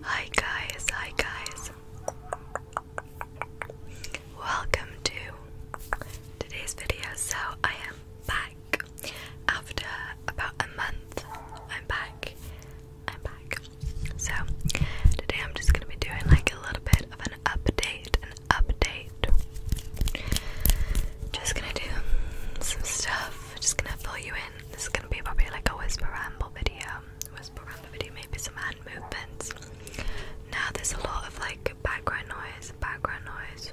Hi guys, hi guys. Welcome to today's video. So, I am back after about a month. I'm back. I'm back. So, today I'm just going to be doing like a little bit of an update, an update just gonna do some stuff. Just gonna fill you in. This is gonna be probably like a whisper ramble video. Whisper ramble video, maybe some hand movements. Now there's a lot of like background noise, background noise.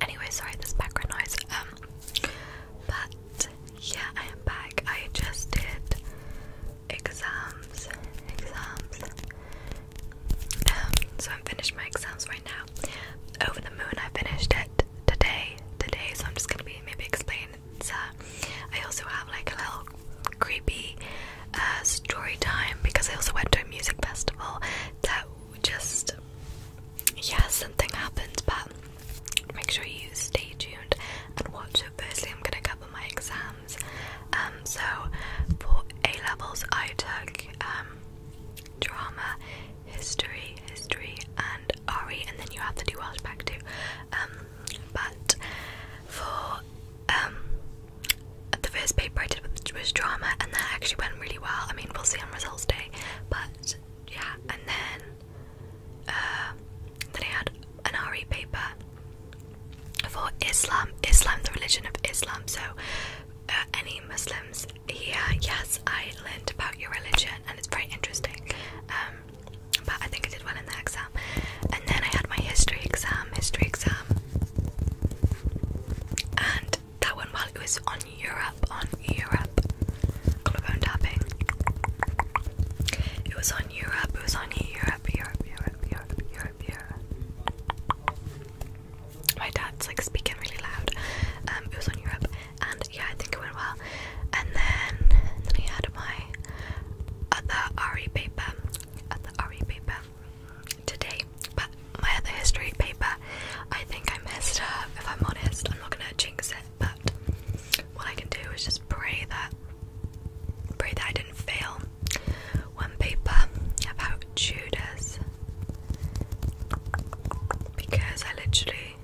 Anyway, sorry, this background noise. Um, but yeah, I am back. I just did exams, exams, um, so I'm finished my exams right now. Over the Moon, I finished it today. Today, so I'm just gonna be maybe explaining. It. Uh, I also have like a little creepy uh, story time because I also went to a music festival that just yeah something happened, but make sure you stay tuned and watch it. Firstly, I'm gonna cover my exams um, so for A levels, I took um, drama, history, history, and RE, and then you have to do Welsh back too. Um, but for um, the first paper I did was drama, and that actually went really well. I mean, we'll see on results day, but yeah, and then uh, then I had an RE paper for Islam, Islam, the religion of Islam. So uh, any Muslims here? Yes, I learned about your religion and it's very interesting. Um, but I think I did well in the exam. And then I had my history exam, history exam. And that one, while it was on Europe, on Europe, collarbone tapping. It was on Europe, it was on Europe, Europe, Europe, Europe, Europe, Europe my dad's like speaking really loud. Um, it was on Europe, and yeah, I think it went well. And then, and then I had my other RE paper, other RE paper today. But my other history paper, I think I missed. up. If I'm honest, I'm not gonna jinx it. But what I can do is just pray that, pray that I didn't fail one paper about Judas because I literally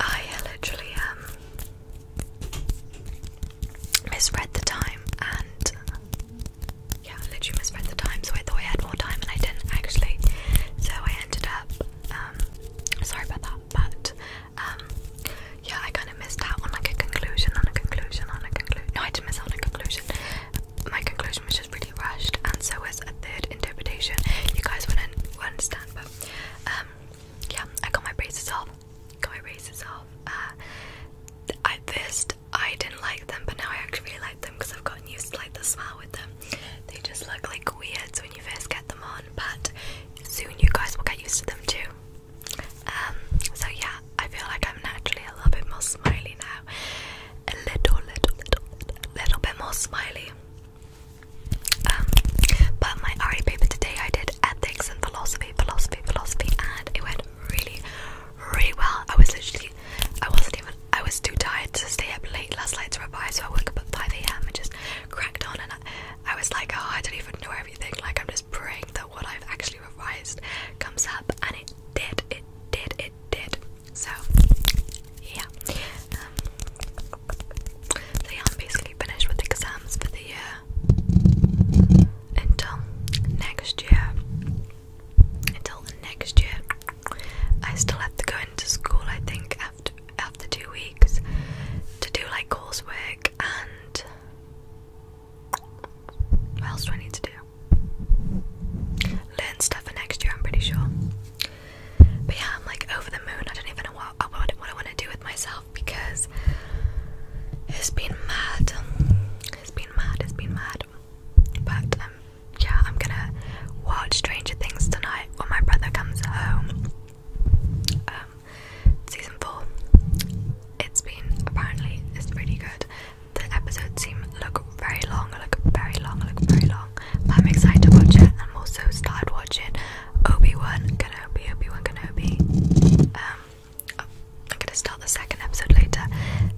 I literally um misread the time and yeah, I literally misread the time, so I thought I had more time and I didn't actually. So I ended up um sorry about that, but um, yeah, I kind of missed out on like a conclusion, on a conclusion, on a conclusion. No, I didn't miss out on a conclusion. My conclusion was just really rushed, and so was a third interpretation. You guys wouldn't understand, but um, yeah, I got my braces off. Got my braces off. Uh, at first, I didn't like them, but now I actually really like them because I've gotten used to like the smell with them. They just look like weirds when you first get them on, but soon you guys will get used to them too. Um, so yeah, I feel like I'm naturally a little bit more smiley now. A little, little, little, little, bit more smiley. Um, but my RE paper today, I did ethics and philosophy, philosophy, philosophy, and it went really, really well. I was literally, I wasn't even, I was too tired to stay up late last night to revise, so I woke up at 5 a.m. and just cracked on. And I, I was like, oh, I don't even know everything. Like, I'm just praying that what I've actually revised comes up, and it did. It did. It did. So, yeah. Um, so yeah, I'm basically finished with exams for the year until next year. Until next year, I still have to go into school. I think after two weeks to do like coursework and what else do I need to do? Learn stuff for next year, I'm pretty sure. But yeah, I'm like over the moon. I don't even know what, uh, I want to do with myself because it's been mad. It's been mad, it's been mad. But um, yeah, I'm gonna watch Stranger Things tonight when my brother comes home. Um, season four. It's been apparently it's pretty good. The episodes seem look very long, look very long, look very long. I'm excited to watch it. I'm also started watching Obi Wan Kenobi, Obi Wan Kenobi. Um, I'm gonna start the second episode later.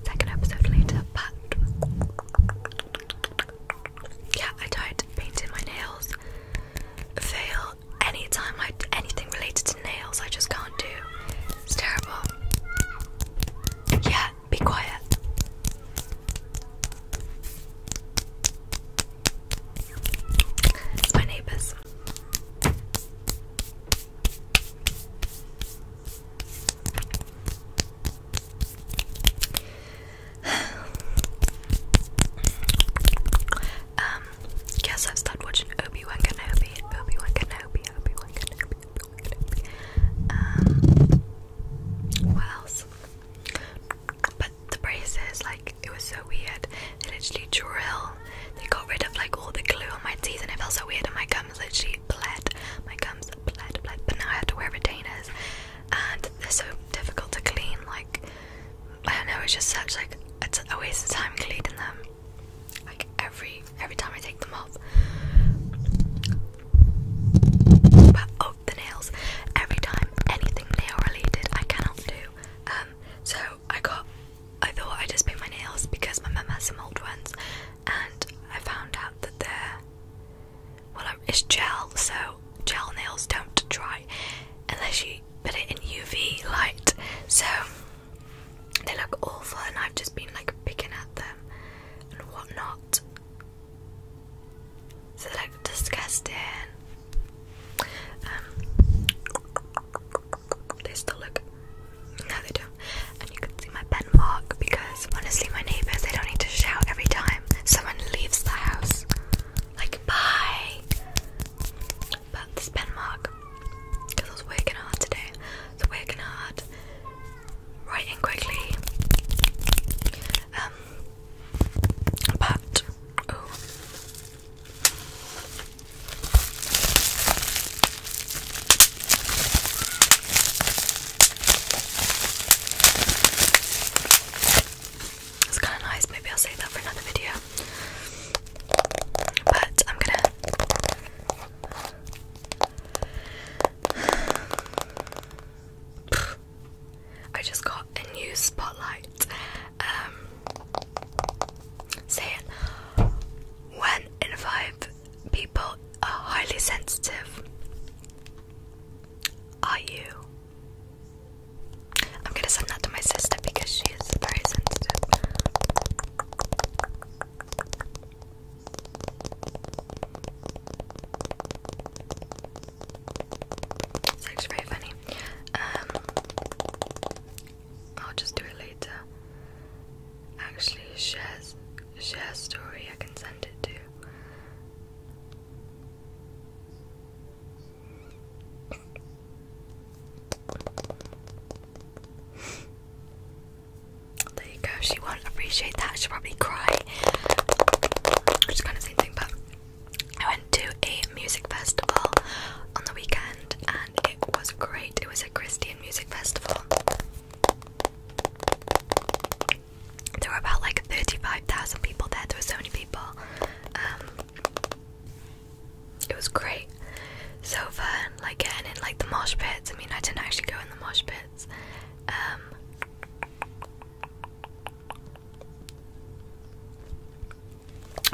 Second episode later, but yeah, I tried painting my nails. Fail anytime I anything related to nails, I just can't do. It's terrible. Yeah, be quiet. It's my neighbours. um, yes, I've started watching Obi-Wan Kenobi, Obi-Wan Kenobi, Obi-Wan Kenobi, Obi-Wan Kenobi. Um, what else? But the braces, like, it was so weird. They literally drill. They got rid of like all the glue on my teeth, and it felt so weird. And my gums literally bled. My gums bled, bled. But now I have to wear retainers, and they're so difficult to clean. Like I don't know, it's just such like it's a waste of time cleaning them. Like every every time I take them off. But oh the nails. Every time anything nail related I cannot do. Um so I got I thought I just paint my nails because my mum has some old ones and I found out that they're well it's gel so gel nails don't dry unless you put it in UV light, so they look awful, and I've just been like picking at them and whatnot. So they look disgusting. Um, they still look. No, they don't. And you can see my pen mark because honestly, my neighbours they don't need to shout every time someone leaves the house. Like, bye. But this pen mark, I was working hard today, I was working writing quickly. Um, but, oh. It's kind of nice. Maybe I'll save that for another video. But I'm gonna. I just got a new spotlight. Um, saying one in five people are highly sensitive. Are you? I'm gonna send that to my sister because she is very sensitive. It's very funny. Um, I'll just do it later. Actually, shares share story. I can send it to. There you go, she won't appreciate that, she'll probably cry. Which kind of same thing, but I went to a music festival on the weekend and it was great. It was a Christian music festival. There were about like 35,000 people there, there were so many people. Um, it was great, so fun. Like getting in like the mosh pits. I mean, I didn't actually go in the mosh pits. Um,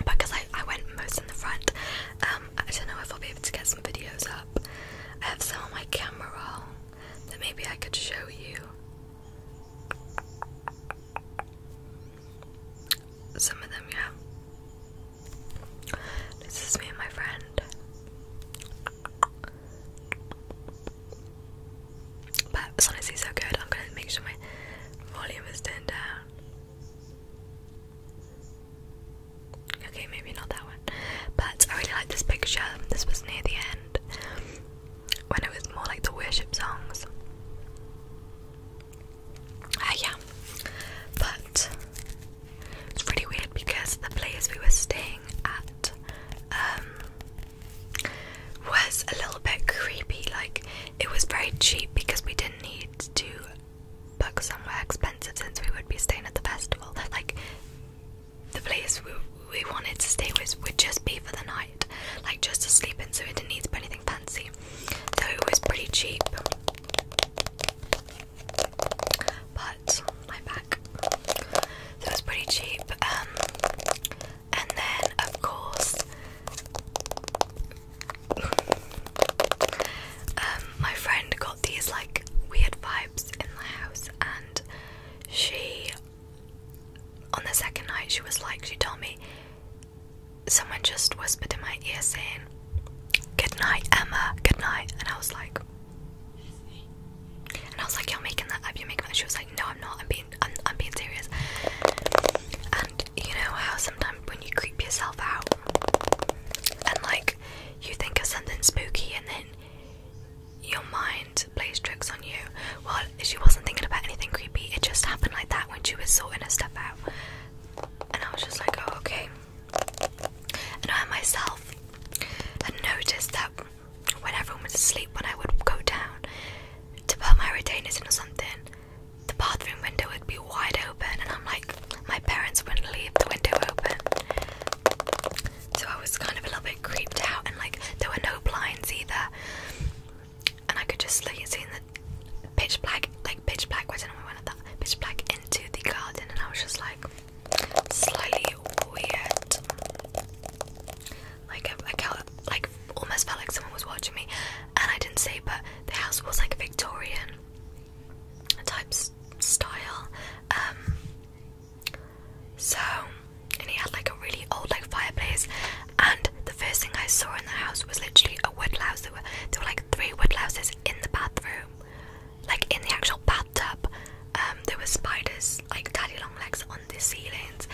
because I, I went most in the front, um, I don't know if I'll be able to get some videos up. I have some on my camera roll that maybe I could show you. Some of them, yeah. This is me and my friend. But it's honestly so good. I'm gonna make sure my volume is turned down. Okay, maybe not that one. But I really like this picture. This was near the end when it was more like the worship songs. Ah, yeah. But it's really weird because the place we were staying at um, was a little bit creepy. Like, it was very cheap because we didn't need to book somewhere expensive since we would be staying at the festival. Like, the place we we wanted to stay with would just be for the night, like just to sleep in, so we didn't need to put anything fancy. Though it was pretty cheap. But my back. So it was pretty cheap. Um, and then of course um, my friend got these like weird vibes in the house and she on the second night, she was like, she told me, someone just whispered in my ear saying, Good night, Emma, good night. And I was like, and I was like, you're making that up, you're making that. She was like, no, I'm not, I'm being, I'm, I'm being serious. And you know how sometimes when you creep yourself out and like you think of something spooky and then your mind plays tricks on you. Well, she wasn't thinking about anything creepy, it just happened like that when she was sorting her stuff out. And I was just like, oh, okay. And I myself had noticed that when everyone was asleep, when I would go down to put my retainers in or something, the bathroom window would be wide open, and I'm like, my parents wouldn't leave the window open. So I was kind of a little bit creeped out, and like, there were no blinds either and I could just see in the pitch black, like pitch black. I don't know why I wanted that pitch black into the garden, and I was just like slightly weird. Like I, felt like almost felt like someone was watching me, and I didn't say, but the house was like Victorian type style. Um, so, and he had like a really old like fireplace. And the first thing I saw in the house was literally a wood louse. There were there were like three wood louses in the bathroom, like in the actual bathtub. Um, there were spiders, like daddy long legs, on the ceilings.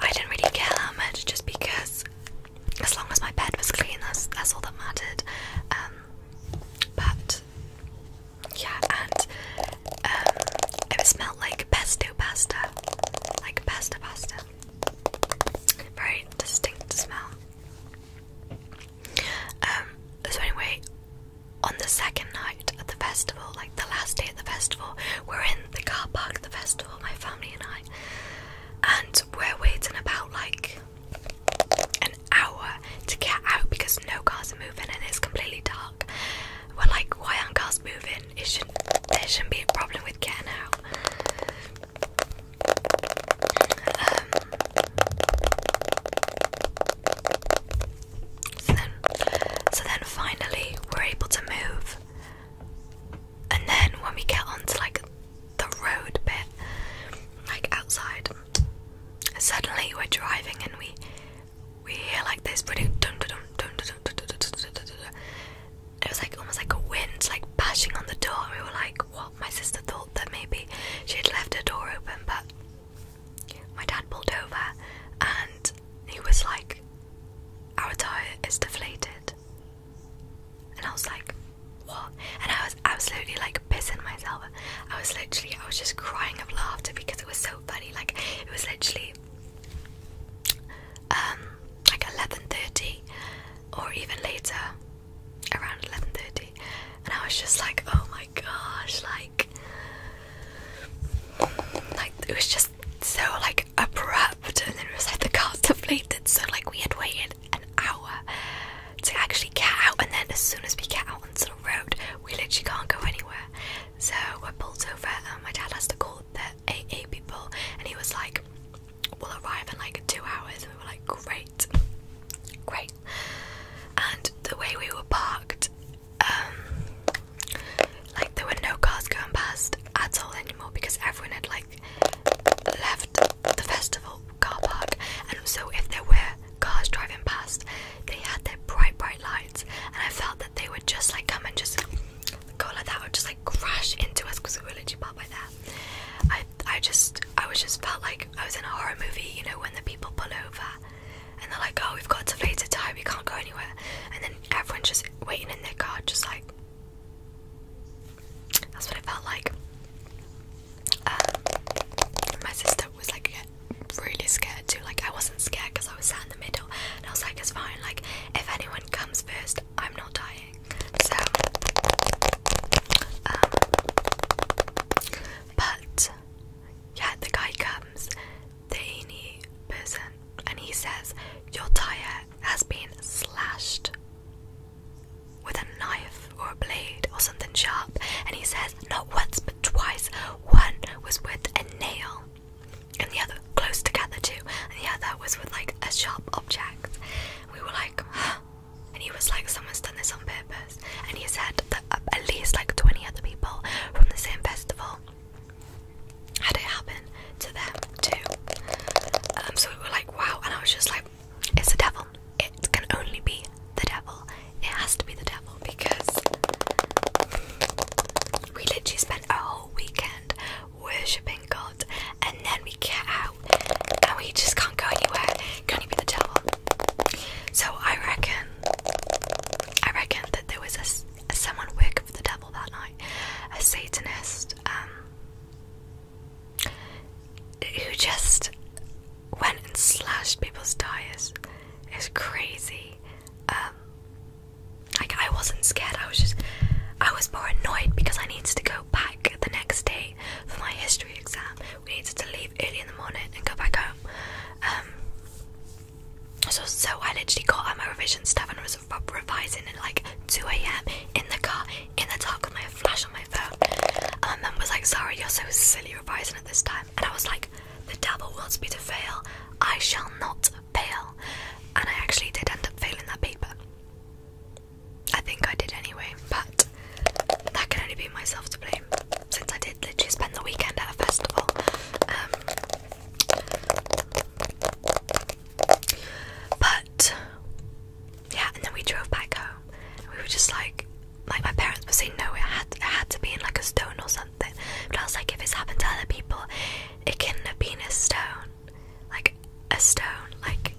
I didn't really care how much, just because as long as my bed was clean, that's that's all that mattered. Um, but yeah, and um, it was like pesto pasta. Like pasta pasta. Very distinct smell. Um, so anyway, on the second night at the festival, like the last day at the festival, we're in the car park at the festival, my family and I, and we're waiting about like an hour to get out because no cars are moving and it's completely dark. We're like, why aren't cars moving? It shouldn't, there shouldn't be a problem with getting um, now. so then finally we're able to move. And then when we get onto like the road bit, like outside, suddenly we're driving and we we hear like this It was like almost like a wind like bashing on the door we were like, what? My sister thought that maybe she had left her door open but my dad pulled over and he was like, Our tire is deflated and I was like, What? And I was absolutely like pissing myself. I was literally I was just crying of laughter because it was so funny. Like it was literally um, like 11.30 or even later, around 11.30 and I was just like, oh my gosh, like, like it was just so like abrupt and then it was like the cars deflated so like we had waited an hour to actually get out and then as soon as we get out onto the road we literally can't go anywhere so we're pulled over and my dad has to call the AA people and he was like, We'll arrive in like two hours and we were like, Great, great. And the way we were parked, um like there were no cars going past at all anymore because everyone had like left the festival car park and so if there were cars driving past they had their bright, bright lights, and I felt that they would just like come and just go like that, or just like crash into us because we were literally parked by that. I, I just, I was just felt like I was in a horror movie, you know, when the people pull over and they're like, "Oh, we've got to later time, we can't go anywhere," and then everyone's just waiting in their car, just like. That's what it felt like. Um, my sister was like, really scared too. Like I wasn't scared because I was sat in the middle, and I was like, it's fine. Like if anyone comes first, I'm not dying. So, um, but yeah, the guy comes, the any person, and he says, your tire has been slashed with a knife or a blade or something sharp and he says not once but twice one was with a nail and the other close together too, and the other was with like a sharp object. We were like, and he was like, someone's done this on purpose. And he said that uh, at least like 20 other people from the same festival had it happen to them too. Um, so we were like, wow, and I was just like, it's the devil. It can only be the devil. It has to be the devil because we literally spent a whole weekend worshipping God, and then we get out and we just can't go anywhere. Can only be the devil. So I reckon, I reckon that there was a, someone wicked for the devil that night, a Satanist, um, who just went and slashed people's tires. It's crazy. Um, like I wasn't scared, I was just I was more annoyed because I needed to go back the next day for my history exam. We needed to leave early in the morning and go back home. Um, so so I literally got out my revision stuff and was revising at like 2 a.m. in the car in the dark with my flash on my phone. Um, and my mum was like, sorry, you're so silly revising at this time and I was like, the devil wants me to fail. I shall not fail. And I actually did end up failing that paper. I think I did anyway, but that can only be myself to blame since I did literally spend the weekend at a festival. Um, but yeah, and then we drove back home. And we were just like, like my parents were saying, no, it had to be in like a stone or something. But I was like, if it's happened to other people, it could have been a stone. Like, a stone. Like,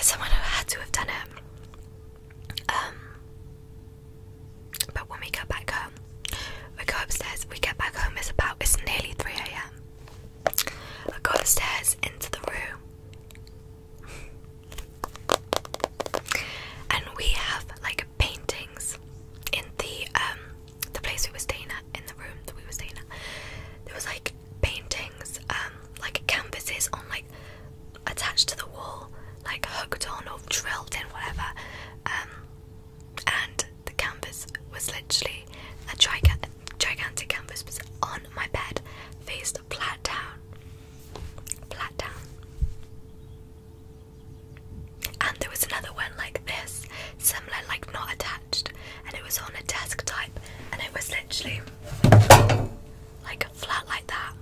someone had to have done it. Um, but when we go back home, we go upstairs, we get back home, it's about, it's nearly 3 a.m. I go upstairs into the room. And we have like paintings in the um, the place we were staying at in the room that we were staying at. There was like paintings, um, like canvases on like attached to the wall, like hooked on or drilled in, whatever. Um, and the canvas was literally a gigantic, gigantic canvas was on my bed, faced flat down, flat down. And there was another one like this, similar, like not attached, and it was on a desk type, and it was literally like flat like that.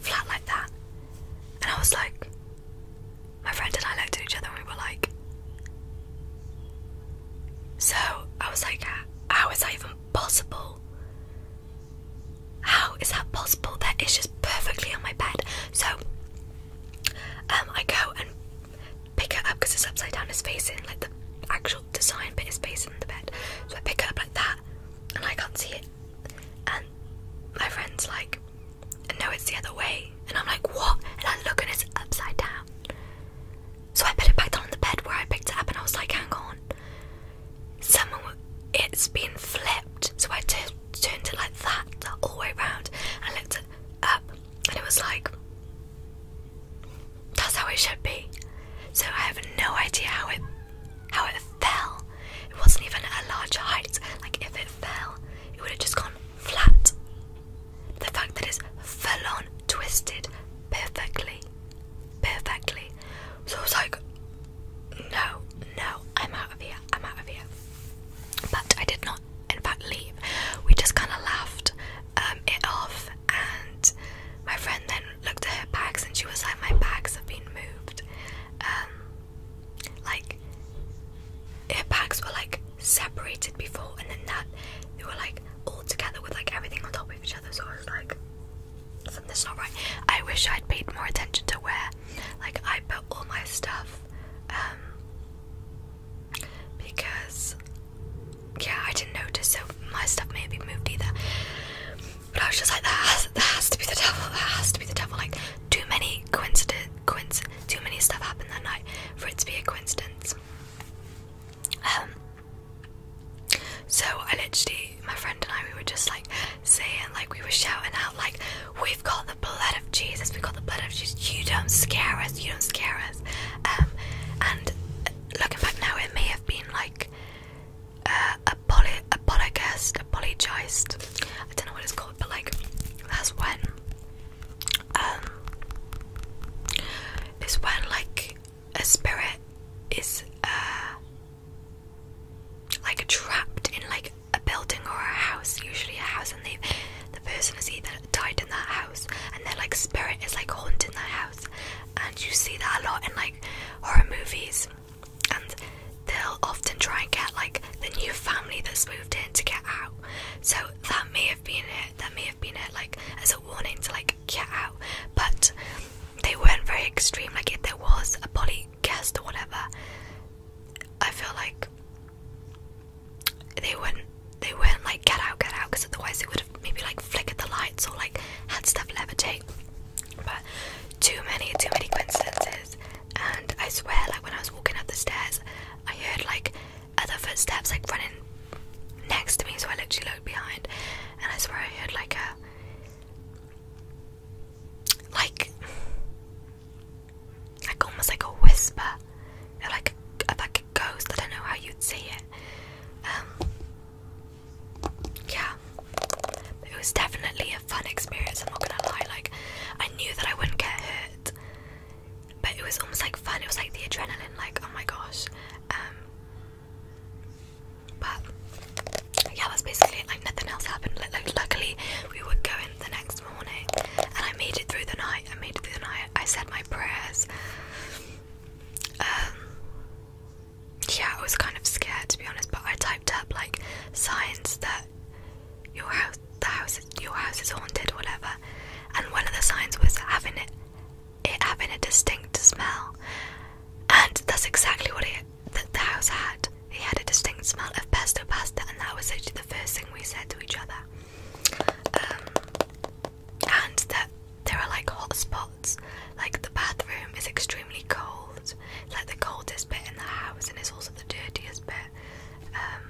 Flat like that. And I was like, my friend and I looked at each other and we were like, so I was like, how is that even possible? How is that possible? That is just perfectly on my bed. So um, I go and pick it up because it's upside down. It's facing like the actual design but it's facing the bed. So I pick it up like that, and I can't see it. And my friend's like, "No, it's the other way." And I'm like, "What?" And I look, and it's upside down. So I put it back down on the bed where I picked it up, and I was like, "Hang on, someone, it's been flipped." So I turned it like that, all the way around, and looked up, and it was like, "That's how it should be." So I have no idea how it how it fell. It wasn't even at a large height. Like if it fell, it would have just gone flat the fact that it's fell on twisted perfectly. Perfectly. So I was like, no, no, I'm out of here, I'm out of here. But I did not, in fact, leave. We just kind of laughed um, it off, and my friend then looked at her bags and she was like, My bags have been moved. Um, like, her bags were like separated before and then that they were like all together with like everything on top of each other so I was like that's not right. I wish I'd paid more attention to where like I put all my stuff um, because yeah I didn't notice so my stuff may have been moved either. But I was just like that has to be the devil, that has to be the devil like too many coincidence coinc too many stuff happened that night for it to be a coincidence. Um, so I literally, my friend and I, we were just like saying, like we were shouting out, like we've got the blood of Jesus, we've got the blood of Jesus. You don't scare us, you don't scare us. Um, and uh, looking back now, it may have been like a poly, a I don't know what it's called, but like that's when um, is when like a spirit is uh, like trapped in like a building or a house, usually a house, and they the person has either died in that house, and their like spirit is like haunting that house, and you see that a lot in like horror movies, and they'll often try and get like the new family that's moved in to get out. So that may have been it. That may have have been a like as a warning to like get out, but they weren't very extreme. Like if there was a polycast or whatever, I feel like they would not they would not like get out, get out, because otherwise it would have maybe like flickered the lights or like had stuff levitate. But too many, too many coincidences. And I swear, like when I was walking up the stairs, I heard like other footsteps like running next to me, so I literally looked behind, and I swear I heard like a like like almost like a whisper, like a, like a ghost. I don't know how you'd say it. Um, yeah, it was definitely a fun experience. I'm not gonna lie. Like I knew that I wouldn't get hurt but it was almost like fun. It was like the adrenaline, like oh my gosh. Um, but yeah, that's basically it. Like nothing else happened. like luckily, we were going the next morning, and I made it through the night. I made it through the night. I said my prayers. Um, yeah, I was kind of scared to be honest, but I typed up like signs that your house, the house your house is haunted whatever and one of the signs was having it it having a distinct smell and that's exactly what it the house had it had a distinct smell of pesto pasta and that was actually the first thing we said to each other um, and that there are like hot spots like the bathroom is extremely cold it's like the coldest bit in the house and it's also the dirtiest bit um,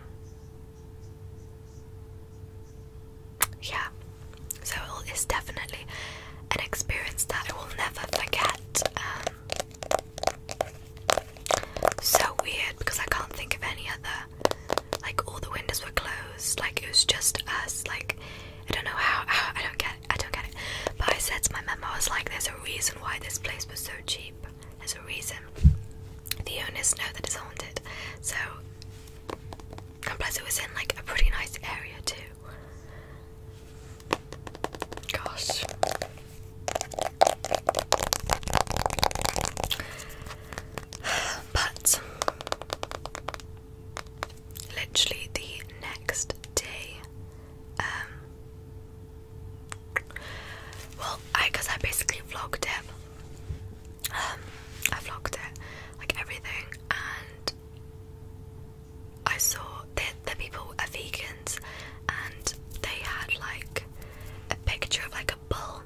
yeah, so it's definitely an experience that I will never forget. Um, so weird because I can't think of any other. Like all the windows were closed. Like it was just us. Like I don't know how. how I don't get. It, I don't get it. But I said to my mum, I was like, "There's a reason why this place was so cheap. There's a reason." the owners know that it's haunted. So, and plus it was in like a pretty nice area too. Gosh. But literally the next day, um, well, I guess I basically vlogged it. Um, I vlogged it, like everything, and I saw that the people are vegans, and they had like a picture of like a bull,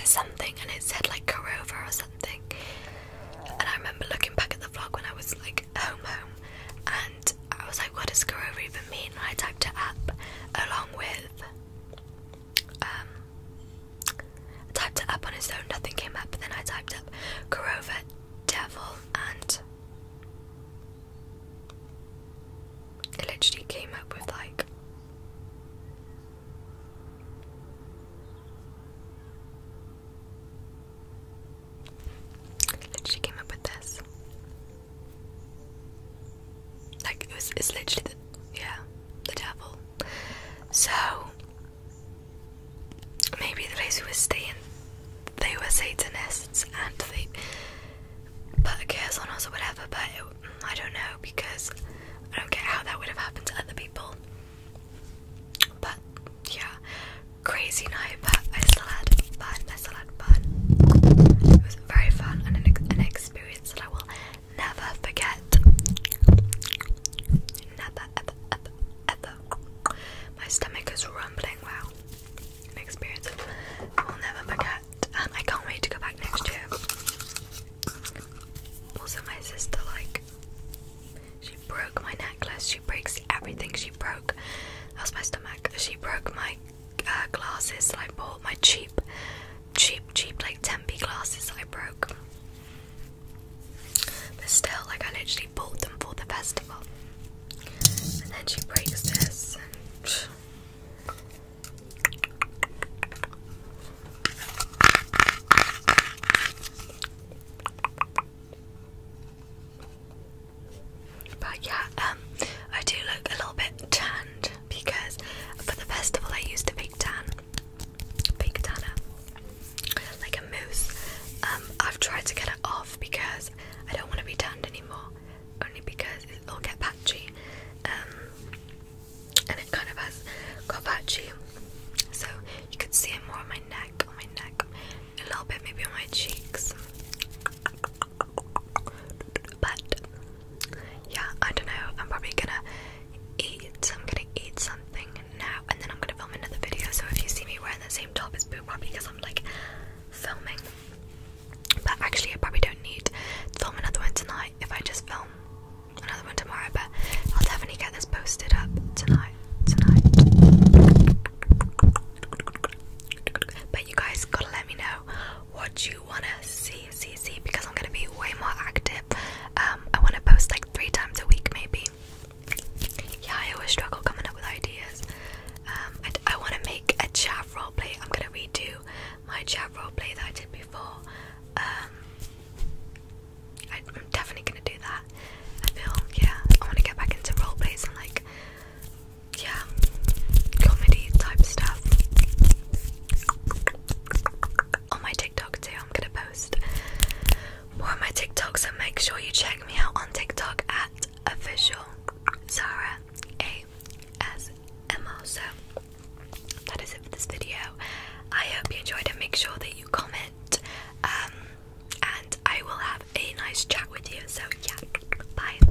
or something, and it said like Corova or something. And I remember looking back at the vlog when I was like home, home, and I was like, "What does Corova even mean?" And I typed it up along with um, I typed it up on his own, nothing came up, but then I typed up Corova, Devil, and it literally came up with like literally came up with this. Like it was, it's literally the yeah, the devil. So maybe the place we were staying, they were Satanists and they put a curse on us or whatever. But I don't know because I don't get how that would have happened to other people. But yeah, crazy night. But I still had fun. I still had fun. It was very fun and an experience experience that I will never forget. Never, ever, ever, ever. My stomach is rumbling. Wow, an experience I will never forget, and I can't wait to go back next year. Also, my sister like she broke my necklace. She breaks everything. She broke. That was my stomach. She broke my uh, glasses that I bought, my cheap, cheap, cheap like 10 glasses I broke. But still, like I literally bought them for the festival. And then she breaks this and but yeah, um, I do look a little bit tanned because for the festival I used a big tan, big tanner, like a mousse. Um, I've tried to get it off because I don't want to be tanned anymore, only because it'll get patchy. Um, and it kind of has got patchy, so you could see it more on my neck, on my neck, a little bit maybe on my cheeks. But yeah, I don't know. I'm probably gonna eat. I'm gonna eat something now, and then I'm gonna film another video. So if you see me wearing the same top, it's probably because I'm like filming. But actually, I probably don't need to film another one tonight if I just film another one tomorrow. But I'll definitely get this posted up tonight. Tonight. But you guys gotta let me know what you want to see, see, because I'm going to be way more active. Um, I want to post like three times a week, maybe. Yeah, I always struggle coming up with ideas. Um, I want to make a chat roleplay. I'm going to redo my chat roleplay that I did before. Um, I, I'm definitely going to do that. I feel, yeah, I want to get back into roleplays and like yeah, comedy type stuff. On my TikTok too, I'm gonna post more of my TikTok, so make sure you check me out on TikTok at official Zara A S M O. So that is it for this video. I hope you enjoyed it. Make sure that you comment, um, and I will have a nice chat with you. So yeah, bye.